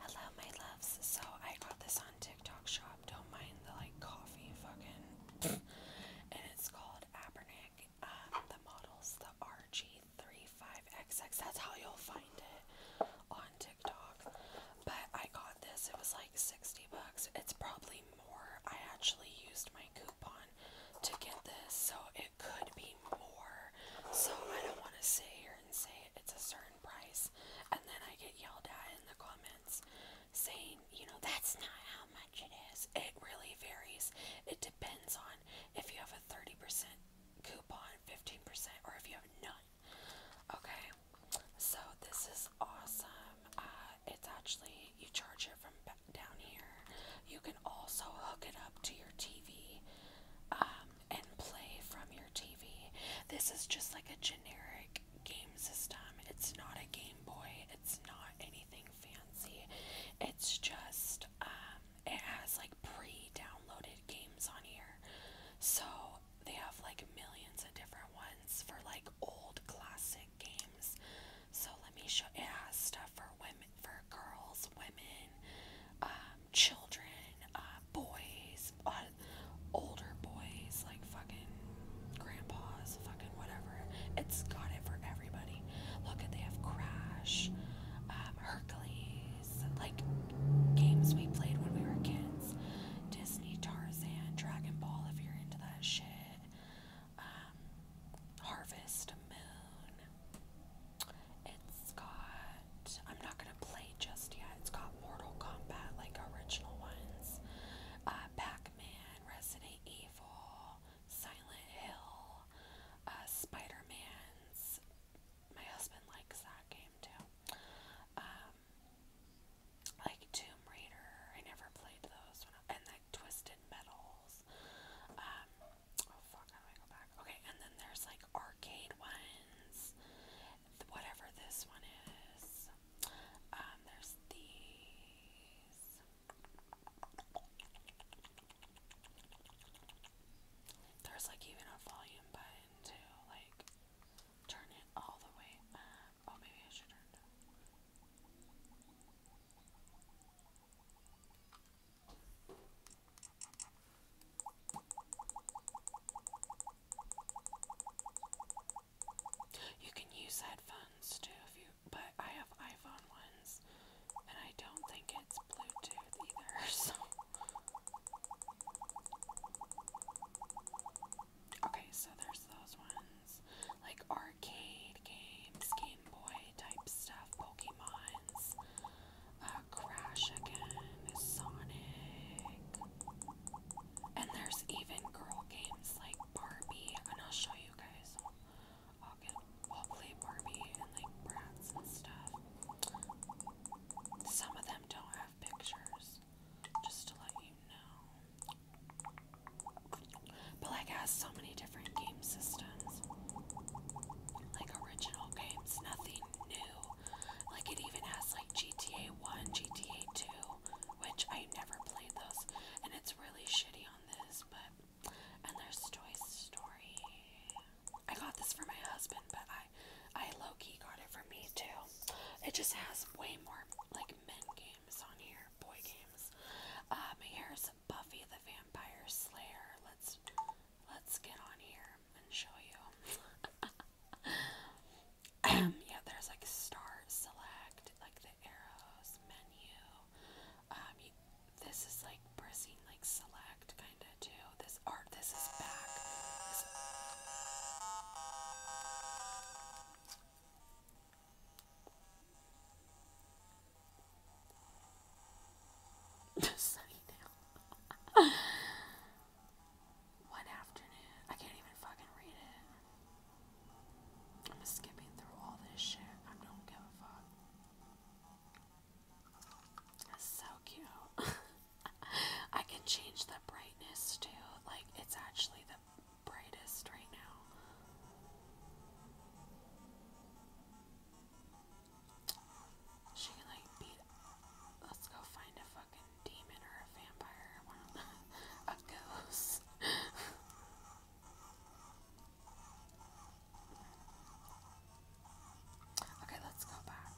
Hello, my loves. So I got this on TikTok shop. Don't mind the like coffee fucking. and it's called Abernick. Um, the model's the RG35XX. That's how you'll find it on TikTok. But I got this. It was like 60 bucks. It's probably more. I actually used my coupon to get this. So it could be pay more. So I don't want to sit here and say it's a certain price and then I get yelled at in the comments saying, you know, that's not how much it is. It really varies. It depends on if you have a 30% coupon, 15%, or if you have none. Okay, so this is awesome. Uh, it's actually, you charge it from down here. You can also hook it up to your TV. Um, and play from your TV. This is just like a generic game system. It's not a Game Boy, it's not anything fancy. It's just, um, it has like pre downloaded games on here. So they have like millions of different ones for like old classic games. So let me show, it has stuff for women for girls, women, um, children, uh, boys, older boys, like fucking grandpas, fucking whatever. It's got it for everybody. Look at they have Crash, um, Hercules, like games we played when we were kids, Disney, Tarzan, Dragon Ball, if you're into that shit. Um, Harvest Moon, it's got, I'm not gonna play just yet. It's got Mortal Kombat, like original ones, uh, Pac Man, Resident Evil, Silent Hill, uh, Spider man My husband likes that game too. Um, like Tomb Raider, I never played those, and like Twisted Metals. Um, oh fuck, how do I go back? Okay, and then there's like arcade ones, whatever this one is. Um, there's these. There's like even a volume button to like turn it all the way up. Oh, maybe I should turn it you can use headphones too if you but I have iPhone ones and I don't think it's Bluetooth either, so Okay, so there's those ones. Like our arcade games, Game Boy type stuff, Pokemons, uh, Crash again, Sonic, and there's even girl games like Barbie, and I'll show you guys. I'll get, we'll play Barbie and like brats and stuff. Some of them don't have pictures, just to let you know. But like has so many different game systems. Like original games, nothing new. Like it even has like GTA 1, GTA 2, which I never played those. And it's really shitty on this, but and there's Toy Story. I got this for my husband, but I I low-key got it for me too. It just has way more like men games on here, boy games. Uh, my hair is Buffy the Vampire Slayer. Let's let's get on here and show you. Um, yeah, there's like star select, like the arrows menu. Um, this is like pressing like select kind of too. This art, this is back. Sunnydale. afternoon. I can't even fucking read it. I'm skipping through all this shit. I don't give a fuck. so cute. I can change the brightness too. Like, it's actually the brightest right now. She like beat. Let's go find a fucking demon or a vampire, one of a ghost. okay, let's go back.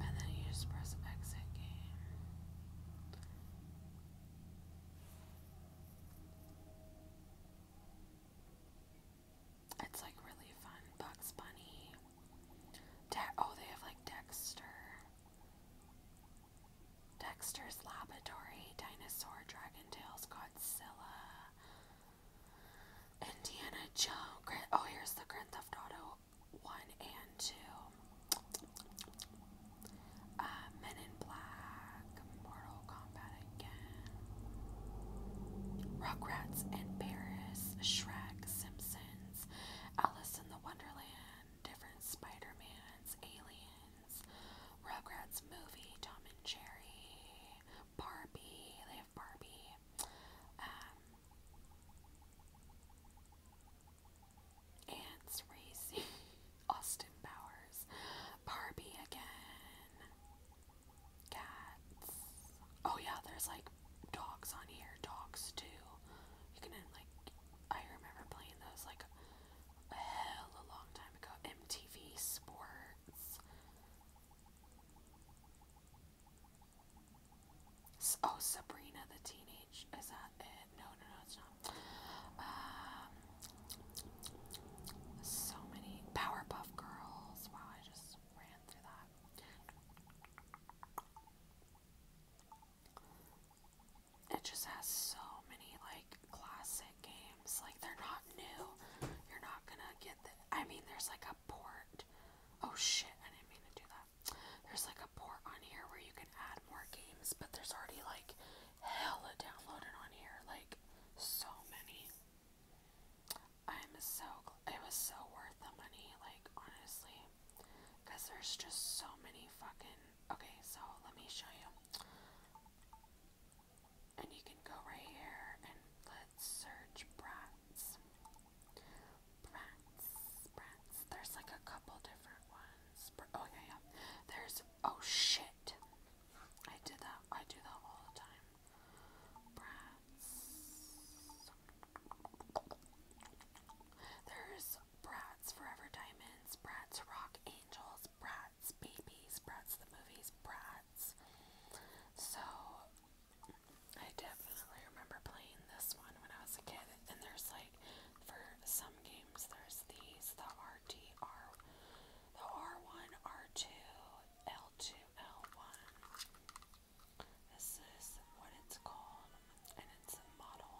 And then you just press exit game. It's like really fun. Bugs Bunny. oh, they have like Dexter. Dexter's Laboratory, Dinosaur, Dragon Tales, Godzilla, Indiana Jones. Oh, here's the Grand Theft Auto one and two. Uh, Men in Black, Mortal Kombat again, Rugrats in Paris, Shrek, Simpsons, Alice in the Wonderland, different spider Aliens, Rugrats movie, Tom and Jerry, Barbie, they have Barbie, um, Ants Racy, Austin Powers, Barbie again, cats. Oh yeah, there's like dogs on here, dogs too. You can like, I remember playing those like a hell a long time ago. MTV Sports. Oh, Sabrina the Teenage. Is that it? No, no, no, it's not. Um, so many. Powerpuff Girls. Wow, I just ran through that. It just has so many, like, classic games. Like, they're not new. You're not gonna get the. I mean, there's like a port Oh shit, I didn't mean to do that. There's like a port on here where you can add more games, but there's already like hella downloaded on here. Like so many. I'm so it was so worth the money, like honestly. Cause there's just so many fucking okay, so let me show you. And you can go right here and search brats. Brats, brats. There's like a couple different ones. oh yeah, yeah. There's oh shit. I did that. I do that all the time. Brats. There's Bratz Forever Diamonds, Bratz Rock Angels, Bratz Babies, Bratz the Movies, Bratz. So I definitely remember playing this one when I was a kid, and there's like for some games there's these the RTR the R1, R2, L2, L1. This is what it's called, and it's a model.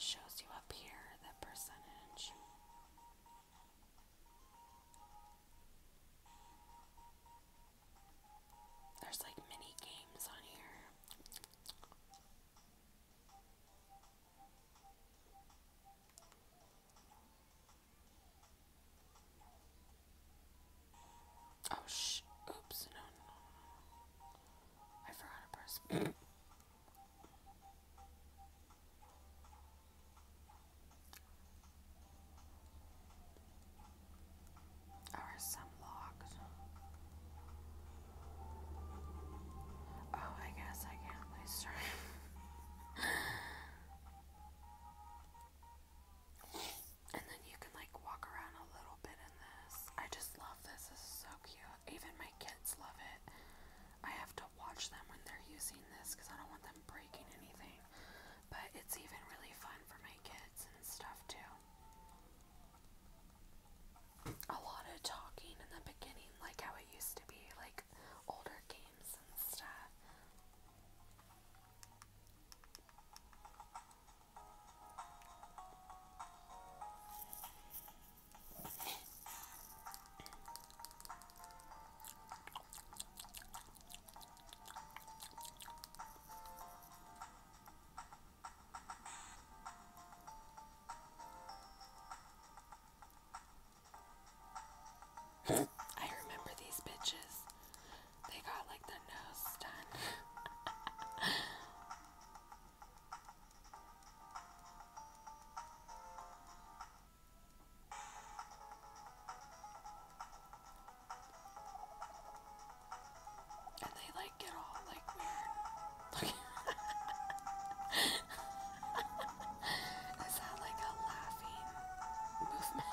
Shows you up here the percentage. There's like mini games on here. Oh, sh oops, no, no, I forgot to press. Or some locked. Oh, I guess I can't play stream. and then you can like walk around a little bit in this. I just love this. This is so cute even my kids love it. I have to watch them when they're using this because I don't want them breaking anything. But it's even really fun for my kids and stuff too. A lot of talking in the beginning, like how it used to be, like older games and stuff. I remember these bitches. They got like the nose done. And they like get all like weird. Is that like a laughing movement?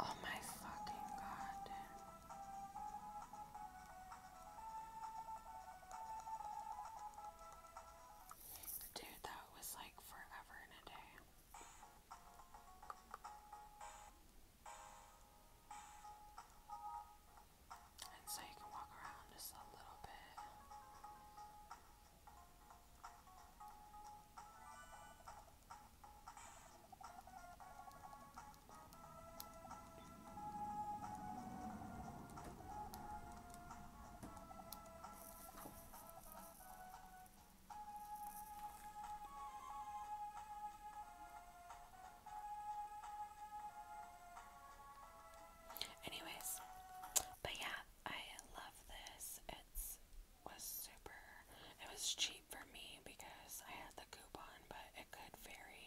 Oh, my fucking God. Dude, that was like forever in a day. And so you can walk around just a little bit. Anyways, but yeah, I love this. It's was super it was cheap for me because I had the coupon, but it could vary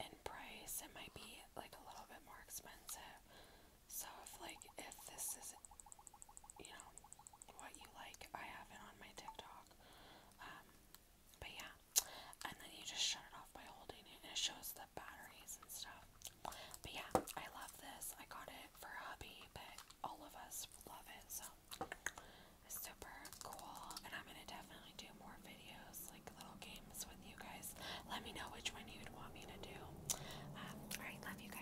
in price. It might be like a little bit more expensive. So if like if this is you know, what you like. I have it on my TikTok. Um, but yeah, and then you just shut it off by holding it, it shows the batteries and stuff. But yeah, I love this. I got it for hubby, but all of us love it, so it's super cool. And I'm gonna definitely do more videos, like little games with you guys. Let me know which one you'd want me to do. Um, Alright, love you guys.